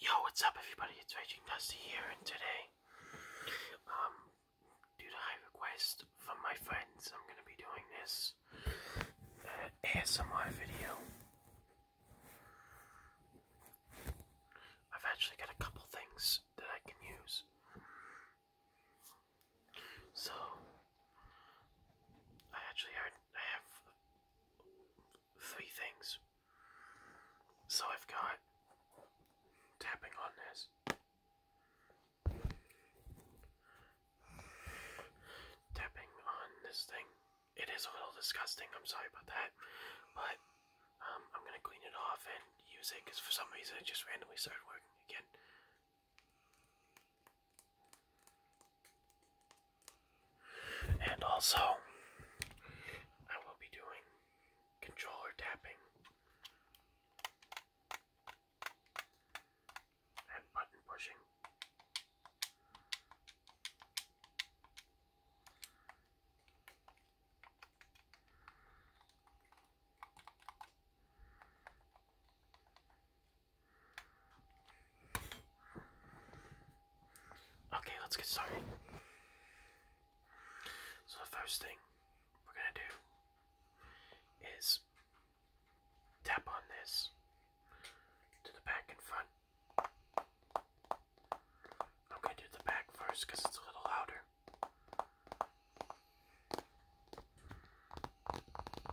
Yo, what's up everybody? It's Raging Dusty here and today, um, due to high request from my friends, I'm gonna be doing this uh, ASMR video. I've actually got a couple things that I can use. So I actually I have three things. So I've got tapping on this. Tapping on this thing. It is a little disgusting, I'm sorry about that. But um, I'm gonna clean it off and use it because for some reason it just randomly started working again. And also, I will be doing controller tapping and button pushing. Okay, let's get started. So, the first thing we're gonna do is tap on this to the back and front. I'm gonna do the back first because it's a little louder.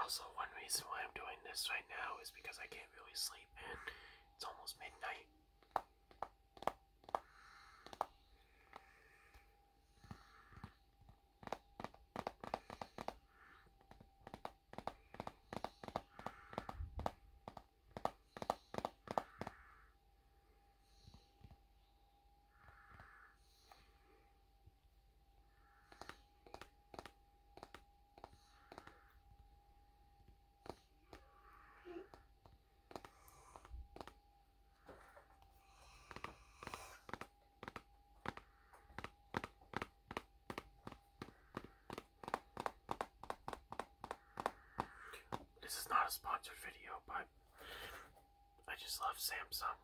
Also, one reason why I'm doing this right now is because I can't really sleep and it's almost midnight. This is not a sponsored video, but I just love Samsung.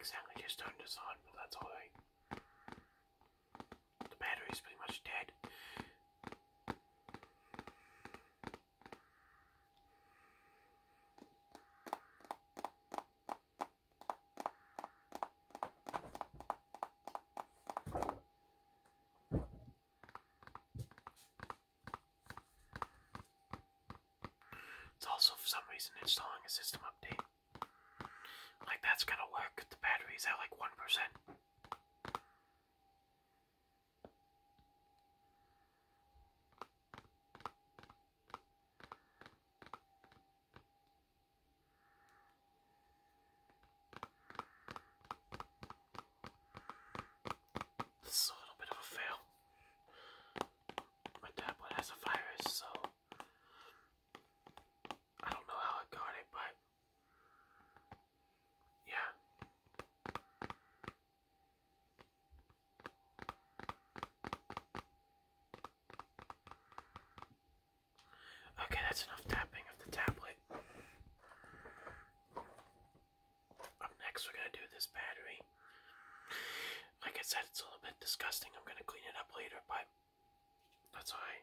Accidentally just turned this on, but that's alright. The battery's pretty much dead. It's also for some reason installing a system update. Like that's gonna work if the battery's at like one percent. This is a little bit of a fail. My tablet has a virus, so I don't know how it got it, but yeah. Okay, that's enough tapping of the tablet. Up next, we're gonna do this battery. Like I said, it's a little bit disgusting. I'm gonna clean it up later, but that's alright.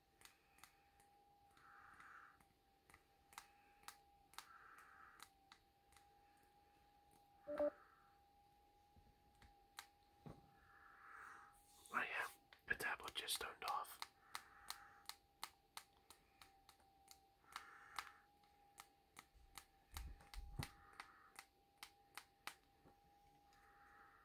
Oh yeah, the tablet just turned off.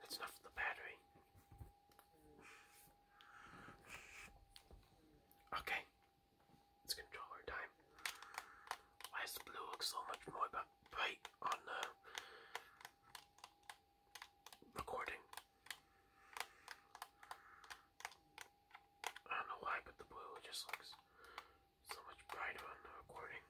That's enough for the battery. Okay, let's time. Why does blue look so much more bright on the recording. I don't know why, but the blue just looks so much brighter on the recording.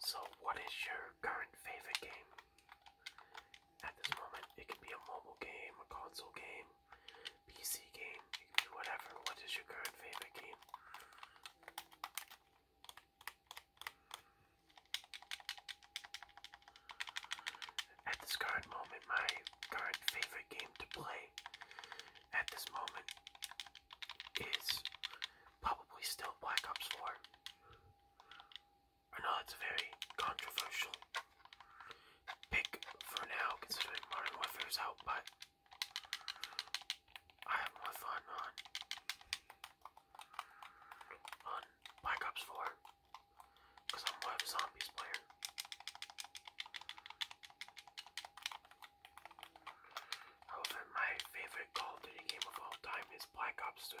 So, what is your current favorite game? At this moment, it can be a mobile game, a console game, PC game, it can be whatever. What is your current favorite game? At this current moment, my current favorite game to play at this moment is probably still Black Ops 4. I know it's a very controversial pick for now, considering Modern Warfare is out, but I have more fun on Black Ops 4 because I'm a Zombies player. However, my favorite Call of Duty game of all time is Black Ops 3.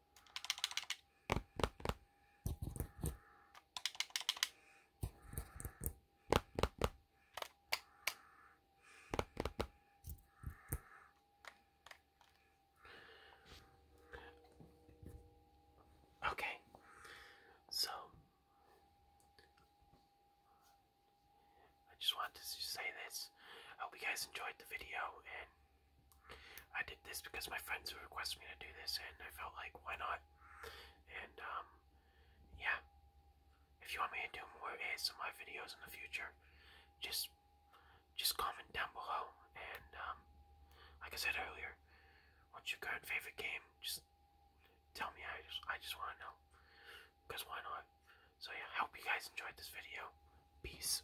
Okay, so I just wanted to say this. I hope you guys enjoyed the video and I did this because my friends requested me to do this, and I felt like, why not? And, um, yeah. If you want me to do more ASMR videos in the future, just, just comment down below. And, um, like I said earlier, what's your current favorite game? Just tell me. I just, I just want to know. Because why not? So yeah, I hope you guys enjoyed this video. Peace.